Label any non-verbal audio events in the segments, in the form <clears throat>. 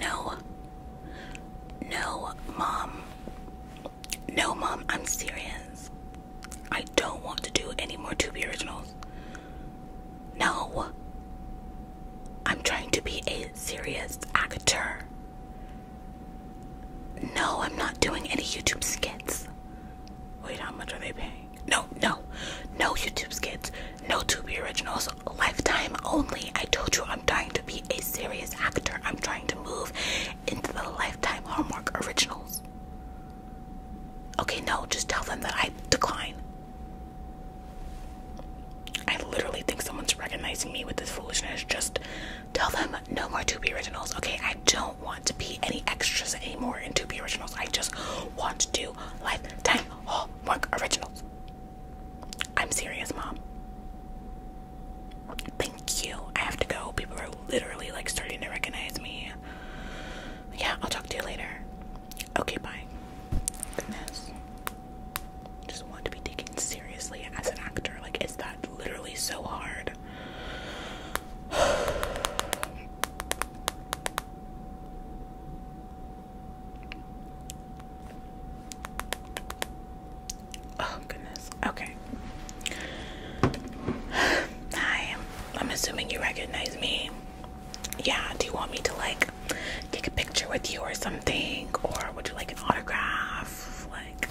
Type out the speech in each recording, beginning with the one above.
No. No, mom. No, mom, I'm serious. I don't want to do any more Tubi originals. No. I'm trying to be a serious actor. No, I'm not doing any YouTube skits. Wait, how much are they paying? No, no, no YouTube skits, no Tubi originals, lifetime only. I told you I'm trying to be a serious actor. I'm trying to move into the lifetime Hallmark originals. Okay, no, just tell them that I decline. I literally think someone's recognizing me with this foolishness. Just tell them no more 2B originals. Okay, I don't want to be any extras anymore in 2B originals. I just want to do lifetime Hallmark originals. I'm serious, mom. Thank you. I have to go. People are literally like starting to recognize me. Yeah, I'll talk to you later. Okay, bye. Goodness. Just want to be taken seriously as an actor. Like, is that literally so hard? <sighs> <sighs> Oh goodness. Okay. Hi. I'm assuming you recognize me. Yeah, do you want me to like take a picture with you or something? Or would you like an autograph? Like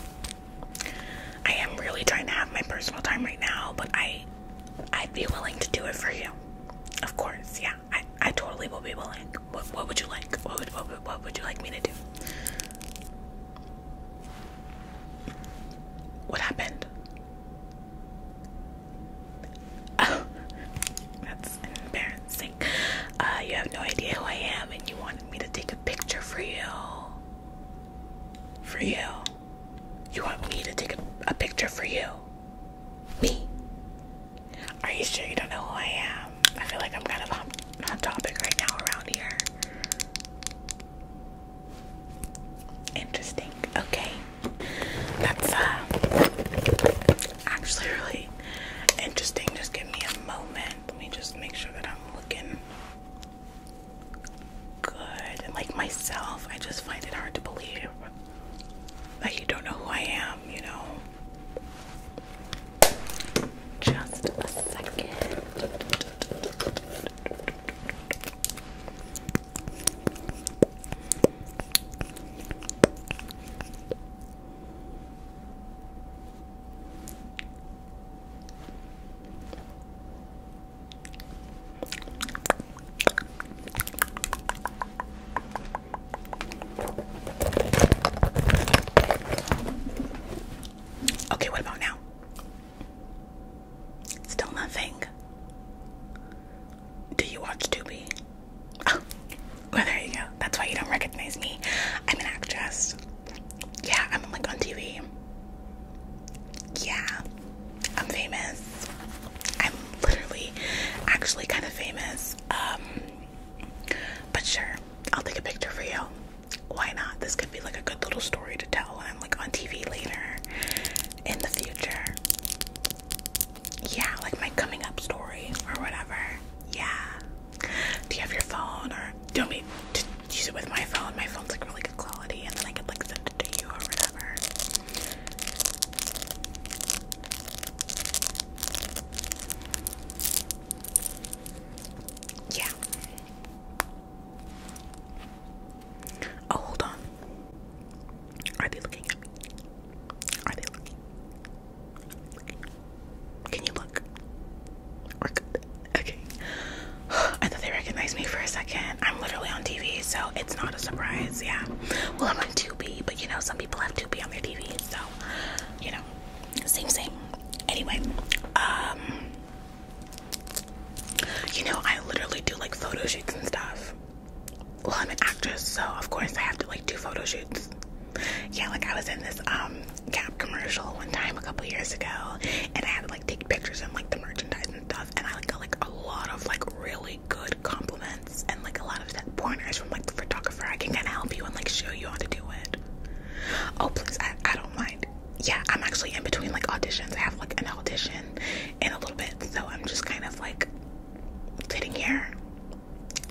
I am really trying to have my personal time right now, but I I'd be willing to do it for you. Of course, yeah. I, I totally will be willing. What, what would you like? What would, what, would, what would you like me to do? What happened? <laughs> that's embarrassing. Uh, you have no idea who I am, and you wanted me to take a picture for you. For you. You want me to take a, picture for you? Me? Are you sure you don't know who I am? I feel like I'm kind of on, on topic right now around here. Interesting. Okay. That's uh, actually really interesting. Just give me a moment. Let me just make sure that I'm looking good and like myself i just find it hard to believe that you don't know who i am you know just a second Okay, what about now? Still nothing. Do you watch Tubi? <laughs> Oh, well, there you go. That's why you don't recognize me. I'm an actress. Yeah, I'm like on TV yeah, I'm famous. I'm literally actually kind of famous. Um, but sure, I'll take a picture for you. Why not? This could be like a good little story to tell when I'm like on TV later in the future. Yeah, like my coming up story or whatever. Yeah. Do you have your phone or do not want me use it with my phone? My phone's like really quality and then I could like send it to you or whatever. Yeah. Oh, hold on. Are they looking Are they looking? Can you look? okay. <sighs> I thought they recognized me for a second. I'm literally on TV, so it's not a surprise. Yeah. Well, I'm on 2B, but you know, some people have 2B on their TV, so you know, same, same. Anyway, um, you know, I literally do like photo shoots and stuff. Well, I'm an actress, so of course I have to like do photo shoots. Yeah, like I was in this um Gap commercial one time a couple years ago, and I had to like take pictures and like the merchandise stuff and I like got like a lot of like really good compliments and like a lot of pointers from like the photographer. I can kinda help you and like show you how to do it. Oh please, I, I don't mind. Yeah, I'm actually in between like auditions. I have like an audition in a little bit, so I'm just kind of like sitting here,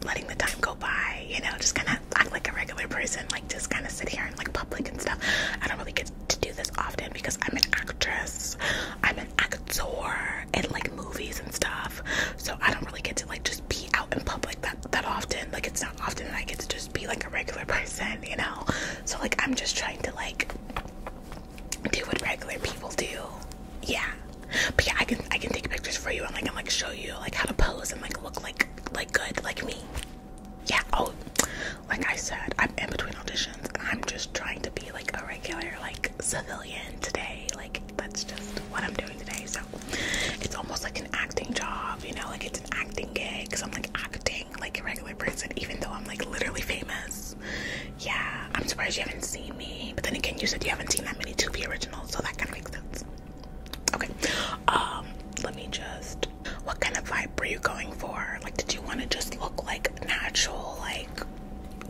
letting the time go by, you know, just kinda act like a regular person, like just kinda sit here in like public and stuff. I don't really get to do this often because I'm an actress. I'm an actor in like movies and stuff. So I don't really get to like just be out in public that that often. Like it's not often that I get to just be like a regular <laughs> person, you know? So like I'm just trying to like do what regular people do. Yeah. But yeah, I can I can take pictures for you and like i and like show you like how to pose and like look like like good like me yeah, oh, like I said, I'm in between auditions I'm just trying to be like a regular, like civilian today. Like, that's just what I'm doing today. So it's almost like an acting job, you know, like it's an acting gig because I'm like acting like a regular person, even though I'm like literally famous. Yeah, I'm surprised you haven't seen me, but then again, you said you haven't seen that many 2B originals, so that kind of makes sense. Okay, um, let me just what kind of vibe were you going for? Like, did you want to just look like natural, like,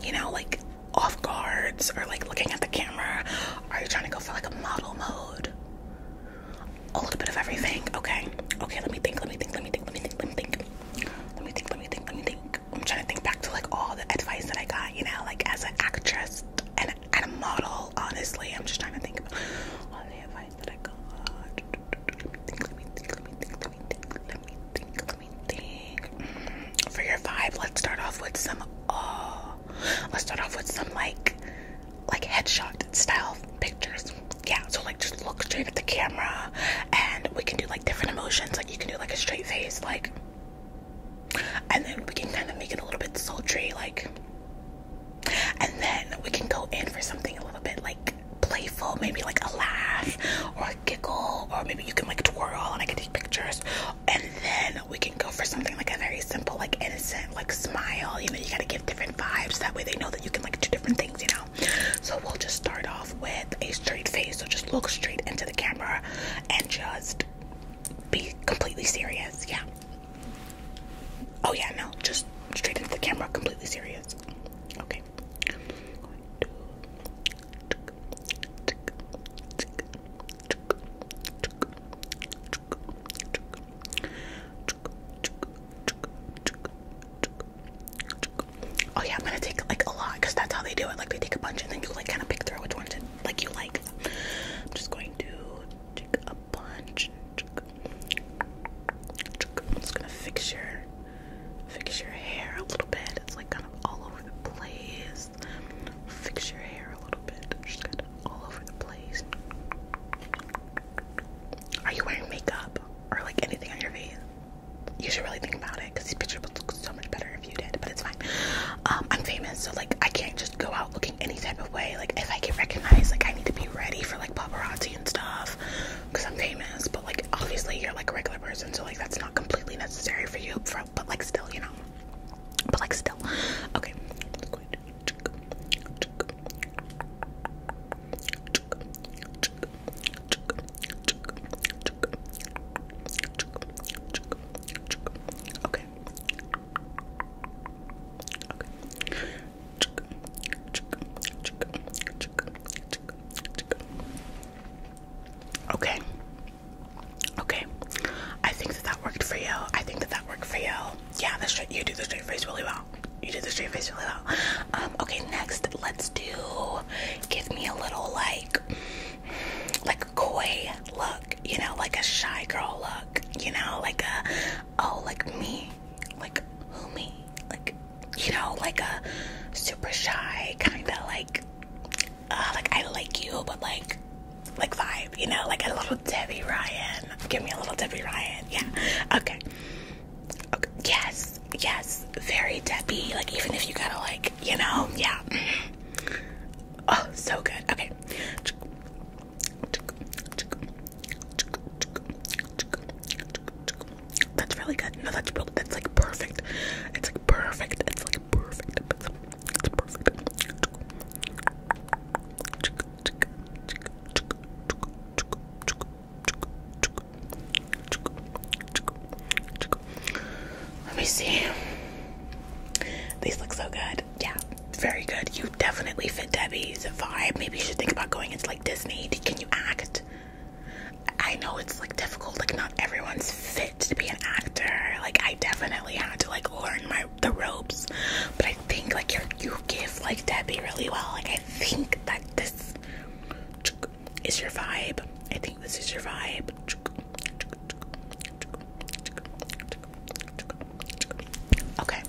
you know, like off guards or like looking at the camera? Are you trying to go for like a model mode? A little bit of everything. Okay. Okay, let me think, let me think, let me think, let me think, let me think. Let me think, let me think, let me think. I'm trying to think back to like all the advice that I got, you know, like as an actress and, and a model, honestly. I'm just trying to think of all the advice let For your vibe, let's start off with some uh, let's start off with some like like headshot style pictures. Yeah, so like just look straight at the camera and we can do like different emotions, like you can do like a straight face, like and then we can kind of make it a little bit sultry, like and then we can go in for something a little bit like playful, maybe like a laugh or a giggle, or maybe you can like twirl and I can take pictures, and then we can go for something like a very simple, like innocent, like smile. You know, you gotta give different vibes that way they know that you can like do different things, you know. So we'll just start off with a straight face, so just look straight into the camera and just be completely serious, yeah. Oh yeah, no, just straight into the camera, completely serious. Okay. One, two, Oh yeah, I'm gonna take like a lot because that's how they do it. Like they take a bunch and then you like kind of pick through which ones like you like. I'm just going to take a bunch. I'm just gonna fix your fix your hair a little bit. It's like kind of all over the place. Fix your hair a little bit. Just kind of all over the place. Are you wearing makeup or like anything on your face? You should really think about it because these pictures would look so much better if you did. But it's fine. Um, I'm famous, so like I can't just go out looking any type of way. Like if I get recognized, like I need to be ready for like paparazzi and stuff because I'm famous. But like obviously you're like a regular person, so like that's not completely necessary for you. but like still, you know. But like still, okay. Okay. Okay. Okay. I think that that worked for you. I think that that worked for you. Yeah, the straight you do the straight face really well. You do the straight face really well. Um, okay, next let's do give me a little like like a coy look, you know, like a shy girl look, you know, like a oh, like me, like who me, like you know, like a super shy kind of like, uh, like I like you, but like, like vibe, you know, like a little Debbie Ryan. Give me a little Debbie Ryan, yeah. Okay, okay. yes, yes, very Debbie. Like even if you gotta like, you know, yeah. <clears throat> Oh, so good. Okay. That's really good. No, that's really, that's like perfect. It's like perfect. It's like perfect. It's, it's perfect. Let me see. These look so good yeah, very good. You definitely fit Debbie's vibe. Maybe you should think about going into like Disney. Can you act? I know it's like difficult. Like not everyone's fit to be an actor. Like I definitely had to like learn my the ropes. But I think like you you give like Debbie really well. Like I think that this is your vibe. I think this is your vibe. Okay.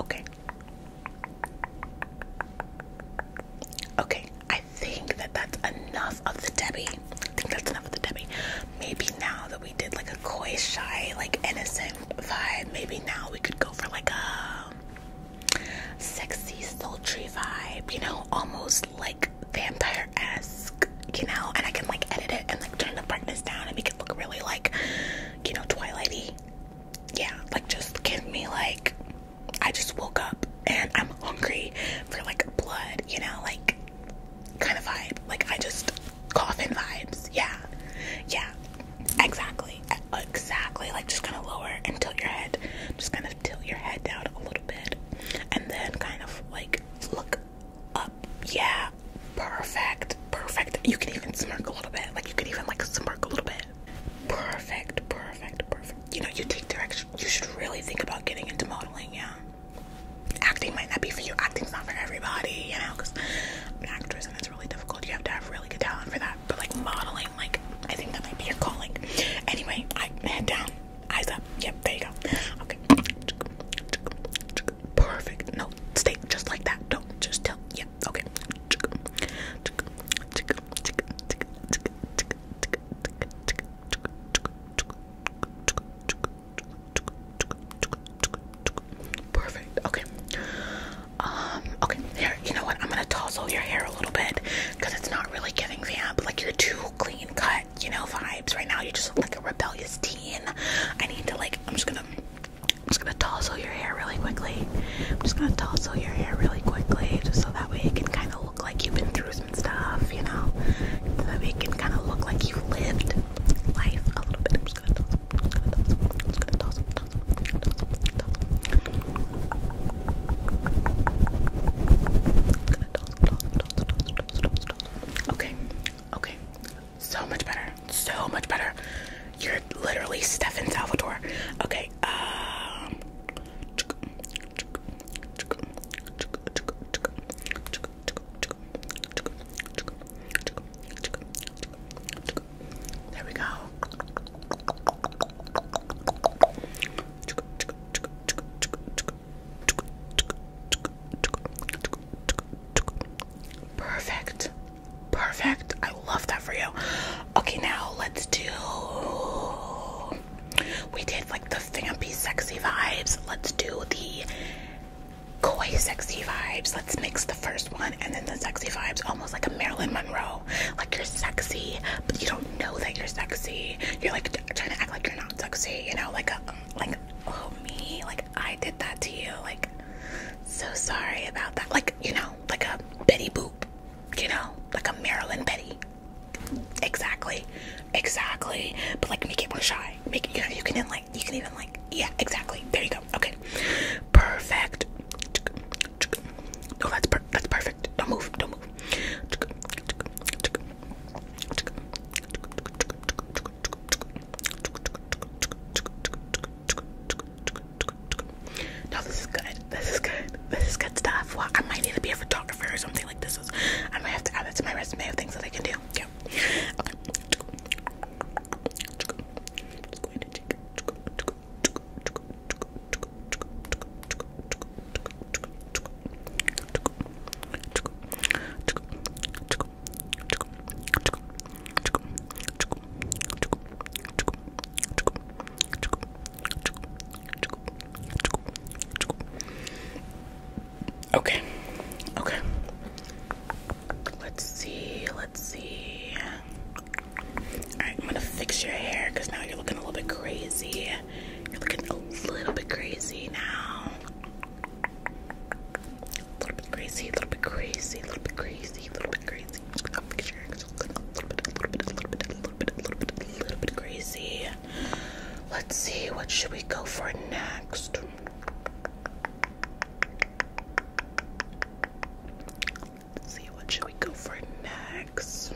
Okay. Okay. I think that that's enough of the Debbie. I think that's enough of the Debbie. Maybe now that we did like a coy, shy, like innocent vibe, maybe now we could go for like a sexy, sultry vibe, you know, almost like vampire esque you know, and I can like edit it and like turn the brightness down and make it look really like, you know, twilighty. Yeah, like just give me like I just woke up and I'm hungry for like blood, you know, like kind of vibe. Like I just coffin vibes. Yeah. Yeah. Exactly. Exactly. Like just kind of lower and tilt your head. Just kind of tilt your head down a little bit and then kind of like look yeah, perfect, perfect. You can even smirk a little bit. Like you can even like smirk a little bit. Perfect, perfect, perfect. You know, you take direction. You should really think about getting into modeling. Yeah, acting might not be for you. Acting's not for everybody. You know, because i an actress and it's really difficult. You have to have really good talent for that. But like modeling, like I think that might be your calling. Anyway, I head down. Eyes up. Yep, there you go. Okay. Perfect. No, stay just like that. Don't just tilt. Yep, okay. Perfect. Okay. Um, okay, here, you know what? I'm gonna tousle your hair a little bit because it's not really giving vamp. Like, you're too clean cut but you know, vibes. Right now, you just look like a rebellious teen. I need to like. I'm just gonna. I'm just gonna tousle your hair really quickly. I'm just gonna tousle your hair really quickly, just so that way it can kind of look like you've been through some stuff, you know. So that way it can kind of look like you've lived life a little bit. I'm just gonna toss. I'm just gonna toss. Okay, Okay, So much better. So much better. You're literally Stefan Salvatore. Okay, there we go. Perfect. Perfect. I love that for you. Okay, now let's do. We did like the vampy sexy vibes. Let's do the coy sexy vibes. Let's mix the first one and then the sexy vibes, almost like a Marilyn Monroe. Like you're sexy, but you don't know that you're sexy. You're like trying to act like you're not sexy, you know, like a like, oh me, like I did that to you, like so sorry about that. Like, you know, like a Betty Boop, you know, like a Marilyn Betty. Exactly. Exactly. But like make it more shy. Make you know, you can even like you can even like yeah, exactly. There you go. Okay. Perfect. No, that's per that's perfect. Don't move, don't move. No, this is good. This is good. This is good stuff. Well, I might need to be a photographer or something like this. I might have to add it to my resume of things that I can do. Okay. Okay. Let's see. Let's see. i right, I'm gonna fix your hair because now you're looking a little bit crazy looking a little bit crazy now. A little bit crazy, a little bit crazy, a little bit crazy, a little bit crazy. A little bit, a little bit, a little bit, a little bit, a little bit, a little bit crazy. Let's see, what should we go for next? see, what should we go for next?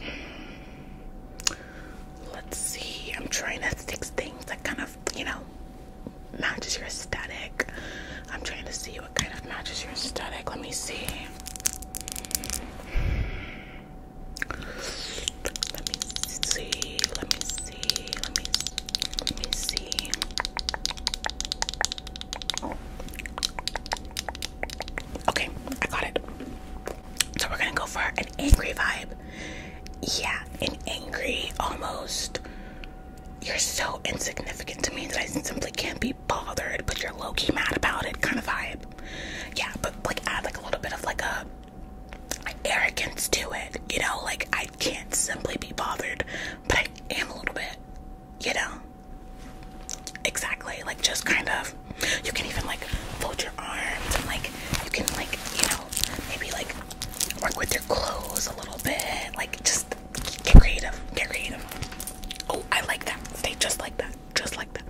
Let's see. I'm trying to fix things that kind of, you know, matches your aesthetic. I'm trying to see what kind of matches your aesthetic. Let me see. Let me see. Let me see. Let me see. Okay, I got it. So we're gonna go for an angry vibe. Yeah, an angry, almost. You're so insignificant to me that I simply can't be bothered, but you're low key mad about it kind of vibe. Yeah, but like add like a little bit of like a arrogance to it, you know? Like I can't simply be bothered, but I am a little bit, you know? Exactly. Like just kind of you can even like fold your arms and like you can like, you know, maybe like work with your clothes a little bit. Like just get creative. Get creative. Oh, I like that. Stay just like that. Just like that.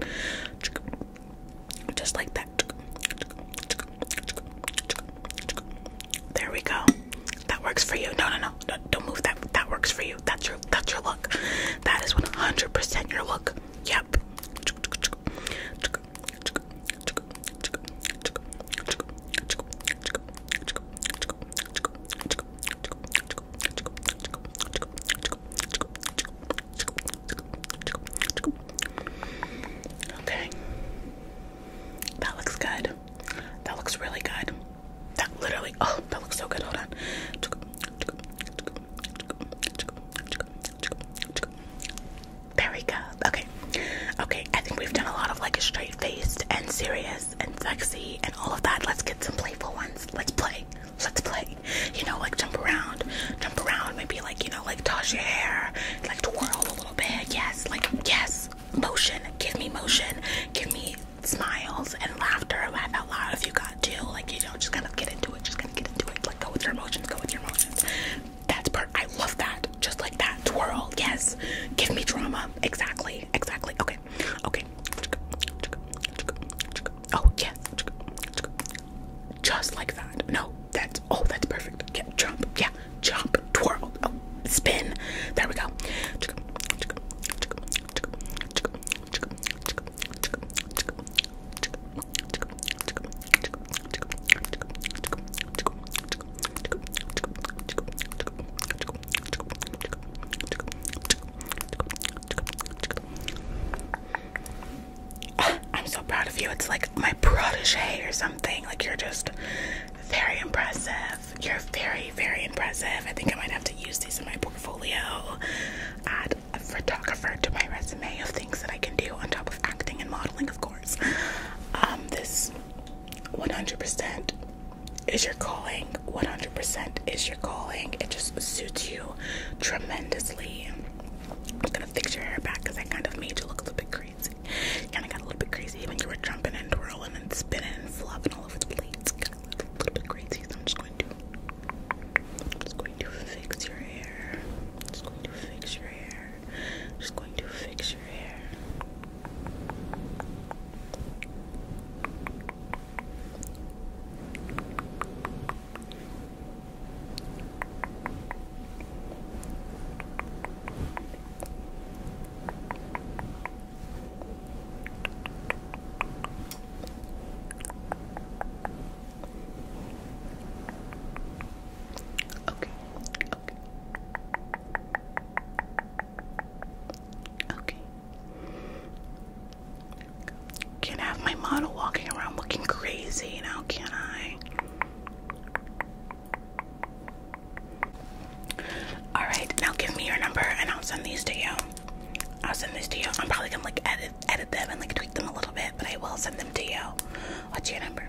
Just like that. There we go. That works for you. No, no, no. no don't move that. That works for you. That's your that's your look. That is 100% your look. Yep. Okay. That looks good. That looks really good. That literally, oh, that looks so good. Hold on. There we go. Okay. Okay, I think we've done a lot of like straight faced and serious and sexy and all of that. Let's get some playful ones. Let's play. Let's play. You know, like jump around. Jump around. Maybe like, you know, like toss your hair. Like twirl a little bit. Yes. Like, yes. Motion. Give me motion. Give me smiles and laughter. Laugh out loud if you got Like, you know, just gotta get into it. Just gotta get into it. Like, go with your emotions. Go with your emotions. That's part. I love that. Just like that. Twirl. Yes. Give me drama. Exactly. Exactly. Okay. Okay. Oh, yes. Just like that. No, that's. Oh, that's perfect. Yeah, jump. Yeah. Jump. Twirl. Oh, spin. There we go. <laughs> I'm so proud of you. It's like my protege or something. Like you're just very impressive. You're very, very impressive. I think I might have to use these in my portfolio add a photographer to my resume of things that I can do on top of acting and modeling, of course. Um, this 100% is your calling. 100% is your calling. It just suits you tremendously. I'm gonna fix your hair back because I kind of made you look a little bit crazy. kind of got a little bit crazy when you were jumping and twirling and spinning and flopping all over the place. a little bit crazy, so I'm just going to it's going to fix your hair. It's going to fix your hair. It's going to fix your hair. Okay. Okay. Okay. Can't have my model walking around looking crazy now, can I? All right, now give me your number and I'll send these to you. I'll send these to you. I'm probably gonna like edit edit them and like tweak them a little bit, but I will send them to you. What's your number?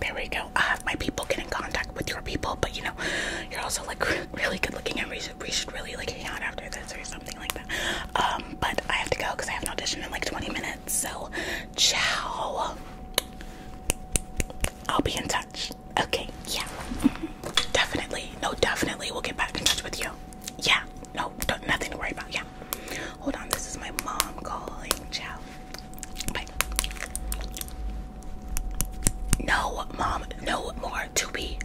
There we go. I have my people get in contact with your people, but you know, you're also like <laughs> really good looking, and we should, we should really like hang out after this or something like that. Um, but I have to go because I have an audition in like 20 minutes. So, ciao. I'll be in touch. Okay, yeah. Mm-hmm. Definitely. No, definitely. We'll get back in touch with you. Yeah. No, nothing to worry about. Yeah. Hold on. This is my mom calling. Ciao. Bye. No, mom. No more to be.